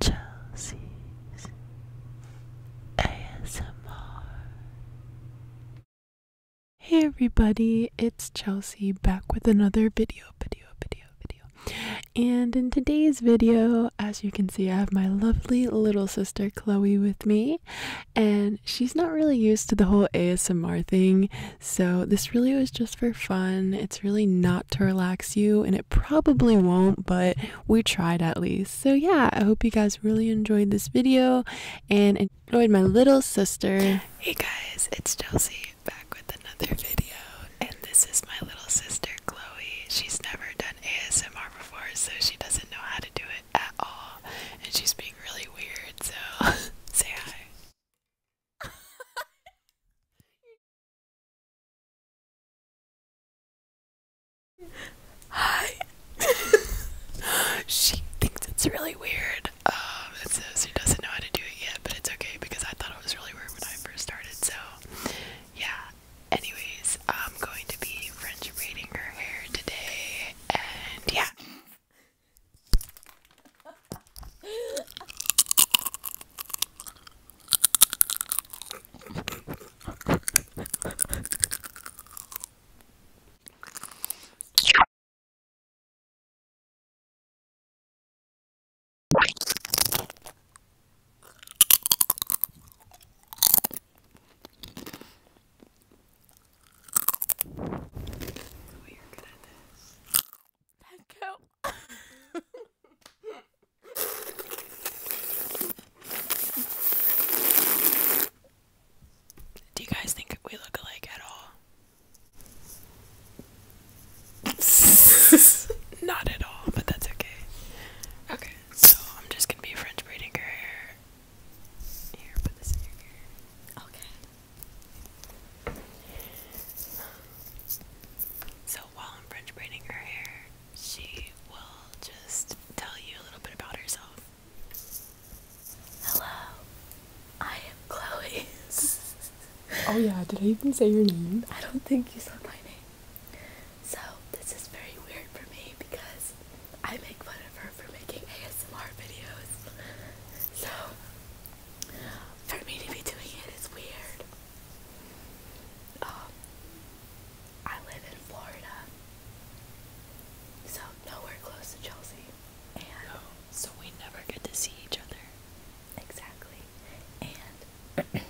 Chelsea's ASMR. Hey everybody, it's Chelsea back with another video, video, video, video. And in today's video, as you can see, I have my lovely little sister Chloe with me, and she's not really used to the whole ASMR thing, so this really was just for fun. It's really not to relax you and it probably won't, but we tried at least. So, yeah, I hope you guys really enjoyed this video and enjoyed my little sister. Hey guys, it's Chelsea back with another video, and this is my little sister Chloe. She's never done ASMR before, so she doesn't know how to do it at all, and she's being really weird, so say hi. Hi. she thinks it's really weird. Um, it she doesn't know how to do it yet, but it's okay because I thought it was really weird when I first started. So, yeah. Anyways, I'm going to be French braiding her hair today, and yeah. We are good at this. Thank you. Do you guys think we look alike at all? Not at all, but that's okay. Okay, so I'm just gonna be French braiding her hair. Here, put this in your hair. Okay. So while I'm French braiding her hair, she will just tell you a little bit about herself. Hello, I am Chloe. oh yeah, did I even say your name? I don't think you said my name. So this is very weird for me because I make fun of her for making ASMR videos. So for me to be doing it is weird. Um, I live in Florida, so nowhere close to Chelsea. And oh, so we never get to see each other. Exactly. And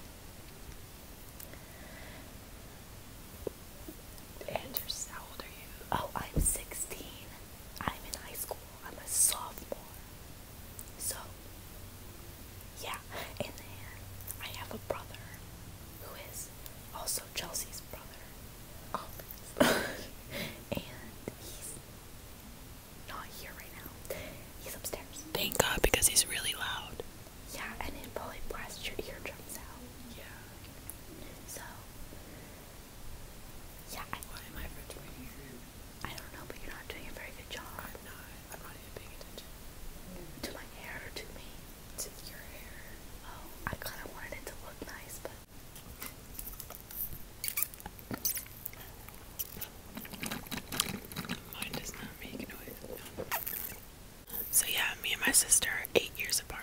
and just how old are you? Oh, I'm 16. I'm in high school. I'm a sophomore. So yeah, and I have a brother who is also Chelsea's brother. and he's not here right now. He's upstairs. Thank God because he's really loud. Yeah, and it probably blasts your eardrums out. Yeah. So yeah, why am I here? I don't know, but you're not doing a very good job. i I'm not even paying attention. To my hair or to me? To your hair. Oh, I kind of wanted it to look nice, but. Mine does not make noise. So, yeah, me and my sister are eight years apart.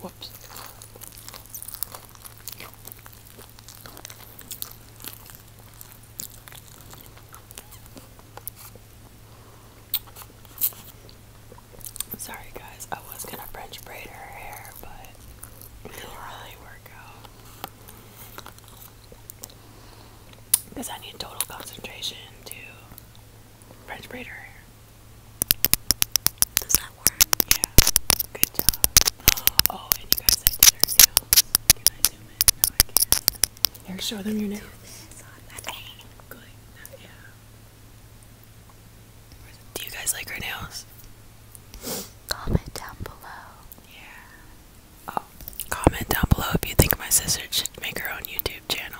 Whoops. Sorry guys, I was gonna French braid her hair, but it didn't really work out. Because I need total concentration to French braid her hair. Does that work? Yeah. Good job. Oh, and you guys, I her nails. Can I zoom in? No, I can't. Here, show them your nails. Good. Yeah. Do you guys like her nails? Comment down below. Yeah. Oh, comment down below if you think my sister should make her own YouTube channel.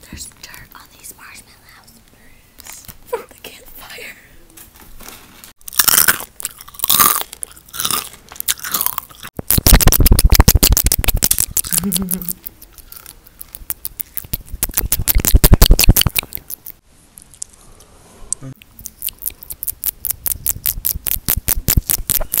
There's dirt on these marshmallows from the campfire.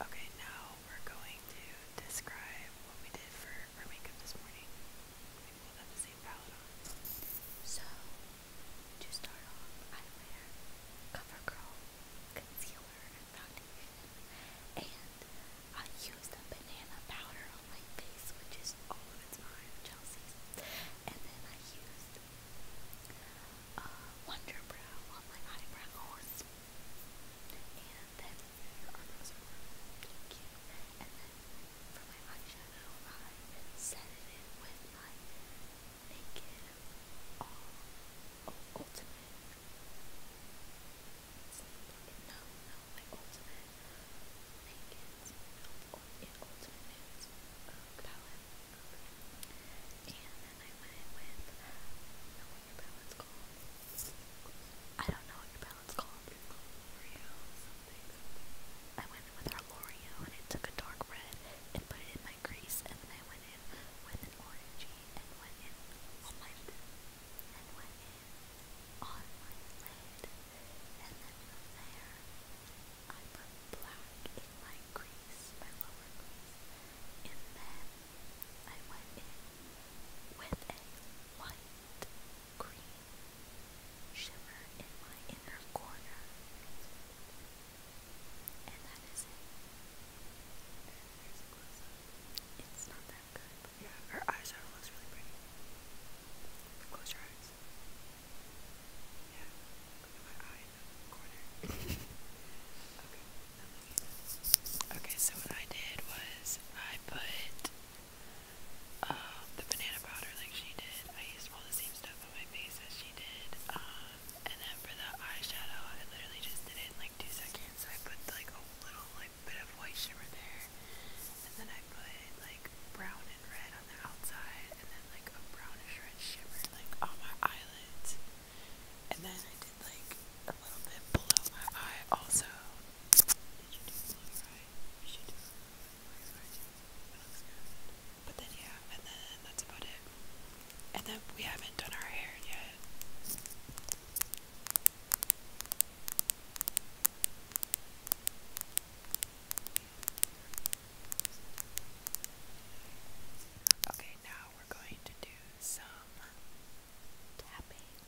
Okay, now we're going to describe what we did for our makeup this morning people that So, to start off, I wear CoverGirl concealer and foundation, and I use the banana powder on my face, which is all of it's mine, Chelsea's, and then I used uh, Wonder Brow on my eyebrows, and then here are are really cute, for my eyeshadow, I setted it with my Naked All Ultimate. No, no, my Ultimate Naked no, Ultimate Nudes uh, palette. And don't know what your palette's called let's I went in with our L'Oreal and I took a dark red and put it in my crease and then I went in with an orangey and went in on my and went in on my lid and then from there I put black in my crease, my lower crease, and then I went in with a white shimmer in my inner corner. And that is it. It's not that good. But yeah, her eyeshadow looks really pretty. Close your eyes. okay, so what I did was I put uh, the banana powder like she did. I used all the same stuff on my face as she did. Um, and then for the eyeshadow, I literally just did it in like two seconds. I put like a little like bit of white shimmer there, and then I put like brown and red on the outside, and then like a brownish red shimmer like on my eyelids. And then I did like a little bit below my eye also. Did you do below your eye? You should do but then yeah, and then that's about it. And then we haven't done our hair yet. Okay, now we're going to do some tapping.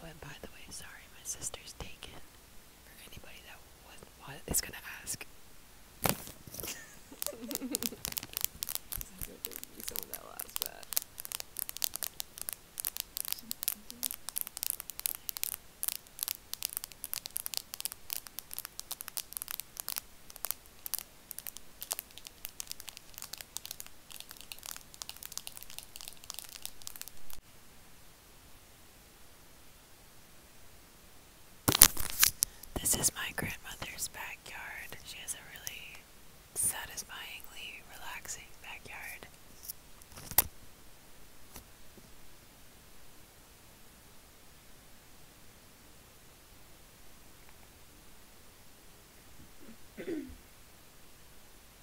Oh, and by the way, sorry, my sister's taken for anybody that was, is gonna ask. This is my grandmother's backyard. She has a really satisfyingly relaxing backyard.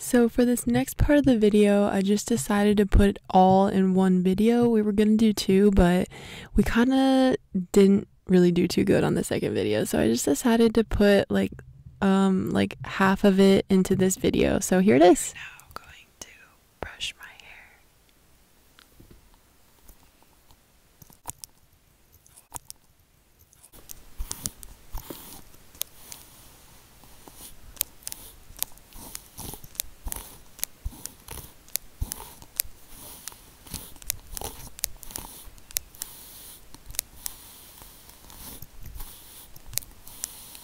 So for this next part of the video, I just decided to put it all in one video. We were going to do two, but we kind of didn't really do too good on the second video. So I just decided to put like um like half of it into this video. So here it is brush my hair.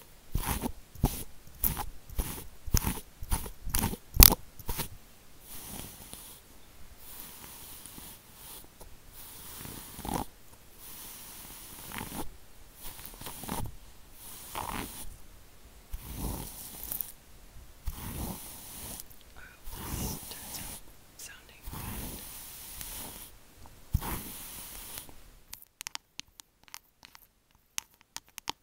this turns out sounding good. That would be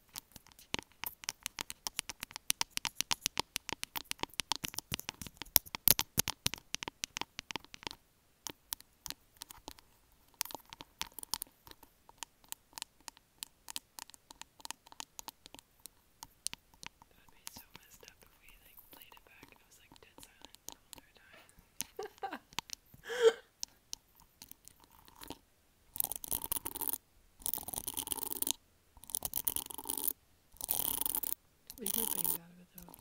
so messed up if we like played it back and it was like dead silent time. we can get things out of it though.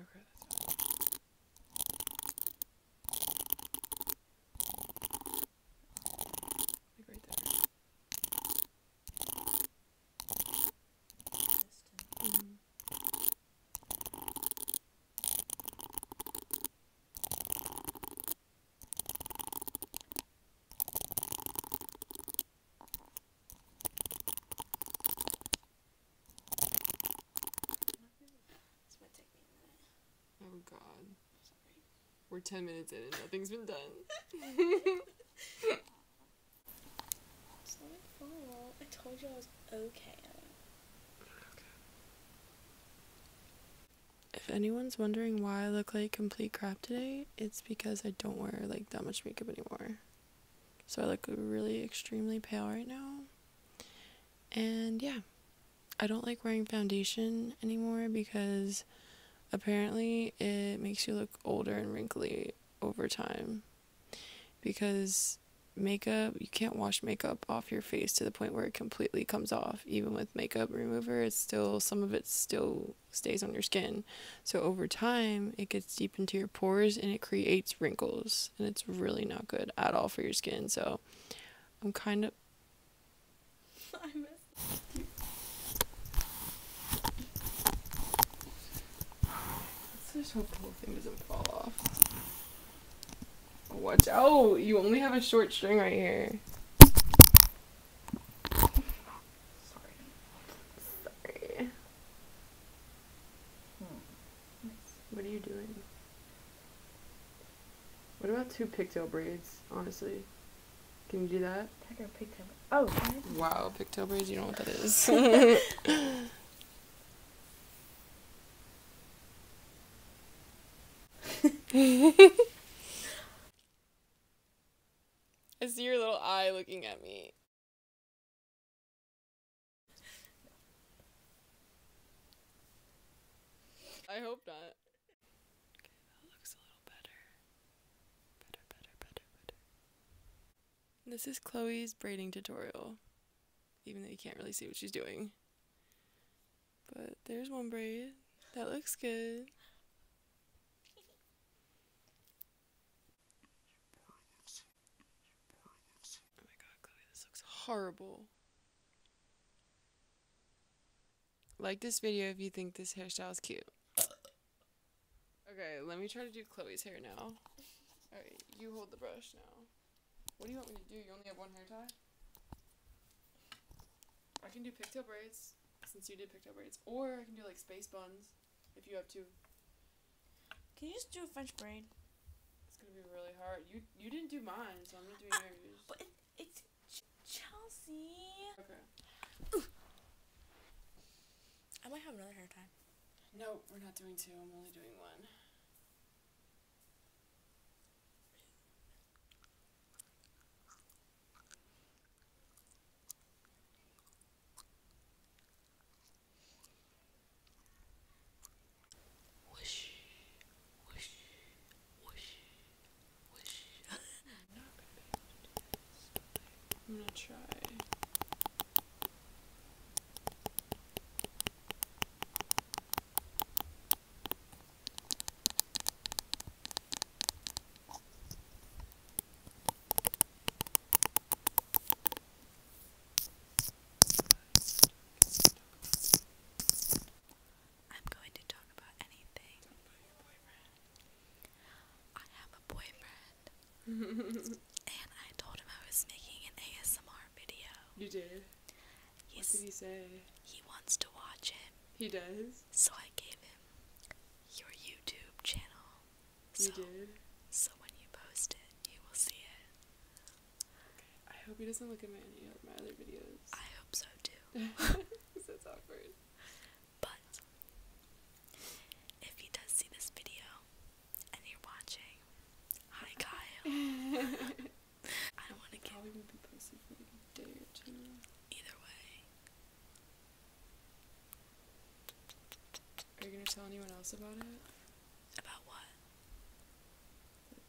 Okay, that's fine. Like right there. Mm -hmm. Oh god. We're 10 minutes in and nothing's been done. I told you I was okay If anyone's wondering why I look like complete crap today, it's because I don't wear like that much makeup anymore. So I look really extremely pale right now. And yeah, I don't like wearing foundation anymore because apparently it makes you look older and wrinkly over time because makeup you can't wash makeup off your face to the point where it completely comes off even with makeup remover it's still some of it still stays on your skin so over time it gets deep into your pores and it creates wrinkles and it's really not good at all for your skin so i'm kind of Let's just hope the whole thing doesn't fall off. Watch out! You only have a short string right here. Sorry. Sorry. Hmm. What are you doing? What about two pigtail braids, honestly? Can you do that? Tiger pigtail. Oh. Wow, pigtail braids. You know what that is. I see your little eye looking at me. I hope not. Okay, that looks a little better. Better, better, better, better. This is Chloe's braiding tutorial, even though you can't really see what she's doing. But there's one braid. That looks good. Oh my god, Chloe, this looks horrible. Like this video if you think this hairstyle is cute. Okay, let me try to do Chloe's hair now. Alright, you hold the brush now. What do you want me to do? You only have one hair tie? I can do pigtail braids, since you did pigtail braids. Or I can do like space buns, if you have two. Can you just do a French braid? It's gonna be really hard. You you didn't do mine, so I'm not doing yours. but it's Chelsea. Okay. I might have another hair tie. No, we're not doing two. I'm only doing one. Whoosh, whoosh, whoosh, whoosh. I'm gonna try. I'm going to talk about anything. I have a boyfriend and I told him I was making an ASMR video. You did? He's, what did he say? He wants to watch it. He does? So I gave him your YouTube channel. So, you did? So when you post it, you will see it. Okay. I hope he doesn't look at my, any of my other videos. I hope so too. That's awkward. But if he does see this video, and you're watching, hi Kyle. I don't want to get. Probably won't be posted for like a day or two. Either way. Are you gonna tell anyone else about it? About what?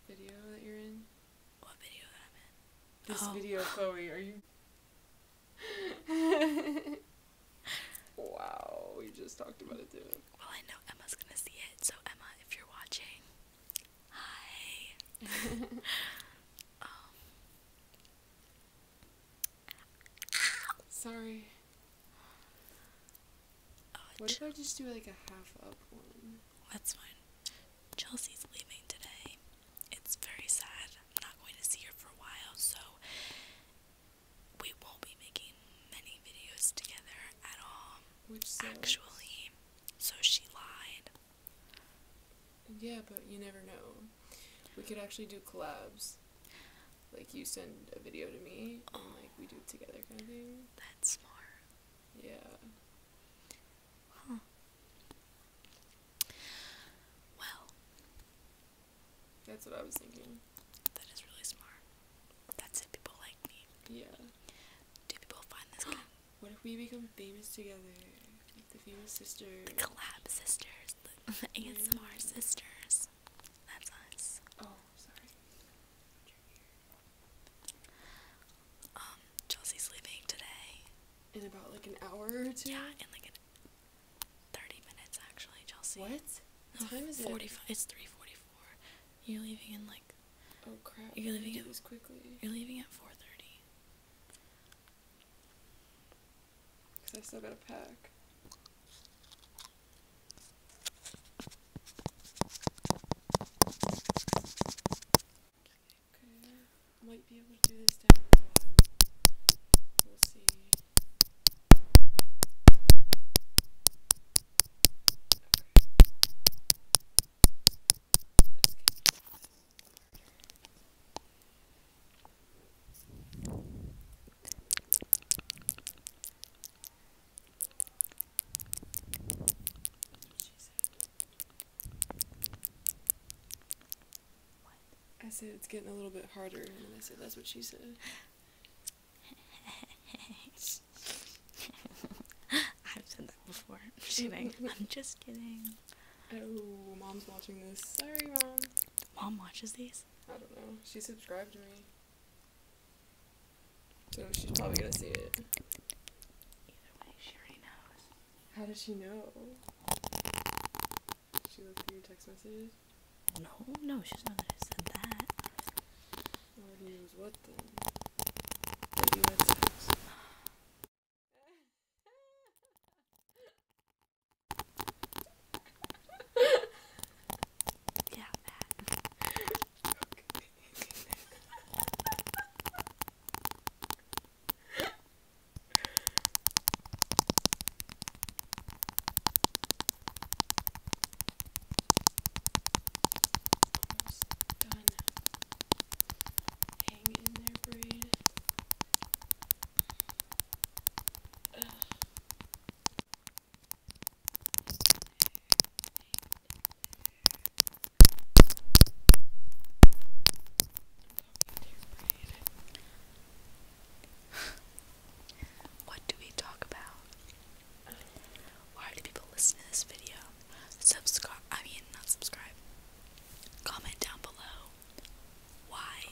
video that you're in. What video that I'm in? This oh. video, Chloe. Are you? wow, we just talked about it too. Well, I know Emma's gonna see it, so Emma, if you're watching, hi. Um, Sorry. Oh, what if I just do like a half up one? That's fine. Chelsea's leaving today. It's very sad. I'm not going to see her for a while, so we won't be making many videos together at all. Actually, so she lied. Yeah, but you never know. We could actually do collabs. Like you send a video to me, and like we do it together, kind of thing. That's more. Yeah. Well, that's what I was thinking. That is really smart. That's it. People like me. Yeah. Do people find this what if we become famous together? Like the famous sisters. The collab sisters. The ASMR sisters. That's us. Oh, sorry. Um, Chelsea's leaving today. In about like an hour or two. Yeah, in like an 30 minutes actually, Chelsea. What? time is 45, It's 3:44. You're leaving in like Oh crap. You're leaving at quickly. You're leaving at 4:30. Cuz I still got to pack. Okay. Might be able to do this down. We'll see. I said it's getting a little bit harder, and I said that's what she said. I've said that before. I'm just kidding. I'm just kidding. Oh, mom's watching this. Sorry, mom. Mom watches these? I don't know. She subscribed to me. So she's probably gonna see it. Either way, she already knows. How does she know? She looked at your text messages? No, no, she's not gonna send that. Lord knows what then. But you had sex. yeah, that. Almost done. Hang in there, braid. Ugh. what do we talk about? Why do people listen to this video? Subscribe, I mean, not subscribe. Comment down below why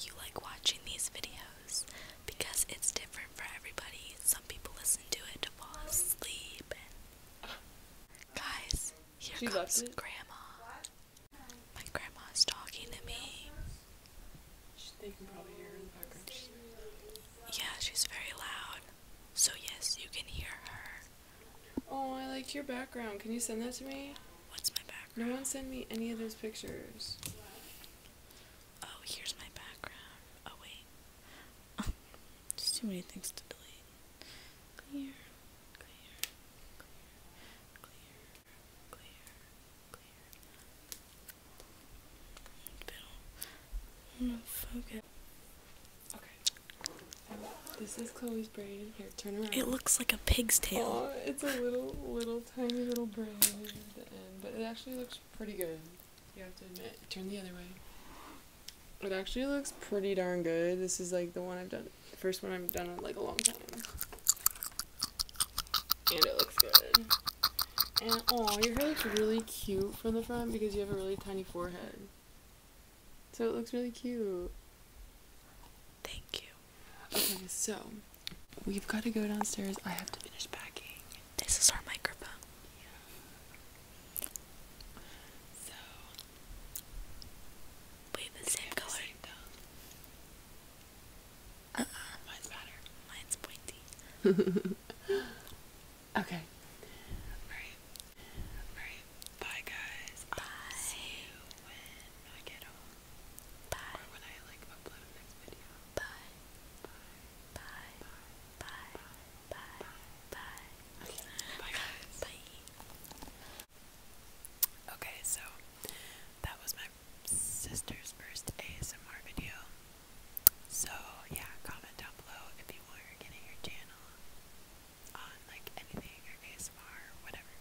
you like watching these videos because it's different for everybody. Some people listen to it to fall asleep. And... Guys, here she comes Grandma. My grandma's talking to me. They can probably hear her in the background. She's yeah, she's very loud. So, yes, you can hear her. Oh, I like your background. Can you send that to me? What's my background? No one send me any of those pictures. Oh, here's my background. Oh, wait. there's too many things to delete. clear, clear, clear, this is Chloe's braid. It looks like a pig's tail. it's a little, little, tiny little braid at the end, but it actually looks pretty good. You have to admit. Turn the other way. It actually looks pretty darn good. This is like the one I've done, the first one I've done in like a long time. And it looks good. And oh, your hair looks really cute from the front because you have a really tiny forehead. So it looks really cute. Thank you. Okay, so we've got to go downstairs. I have to finish packing. This is our microphone. So we have the same color. Mine's better. Mine's pointy. okay. Alright. Alright. Bye guys. Bye. see you when I get home. Bye. Or when I like upload next video. Bye. Bye. Bye. Bye. Bye. Bye. Bye. Bye. Okay. Bye. Okay, so that was my sister's first ASMR video. So yeah, comment down below if you want her getting her channel on like anything or ASMR or whatever.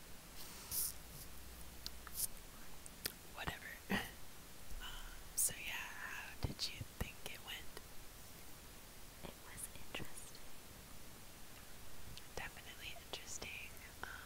Whatever. Um, so yeah, how did you think it went? It was interesting. Definitely interesting. Um,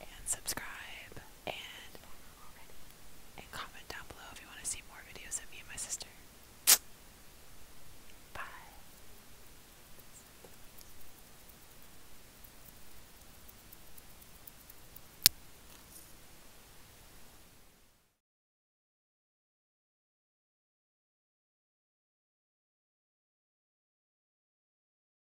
and subscribe and and comment down below if you want to see more videos of me and my sister. Bye.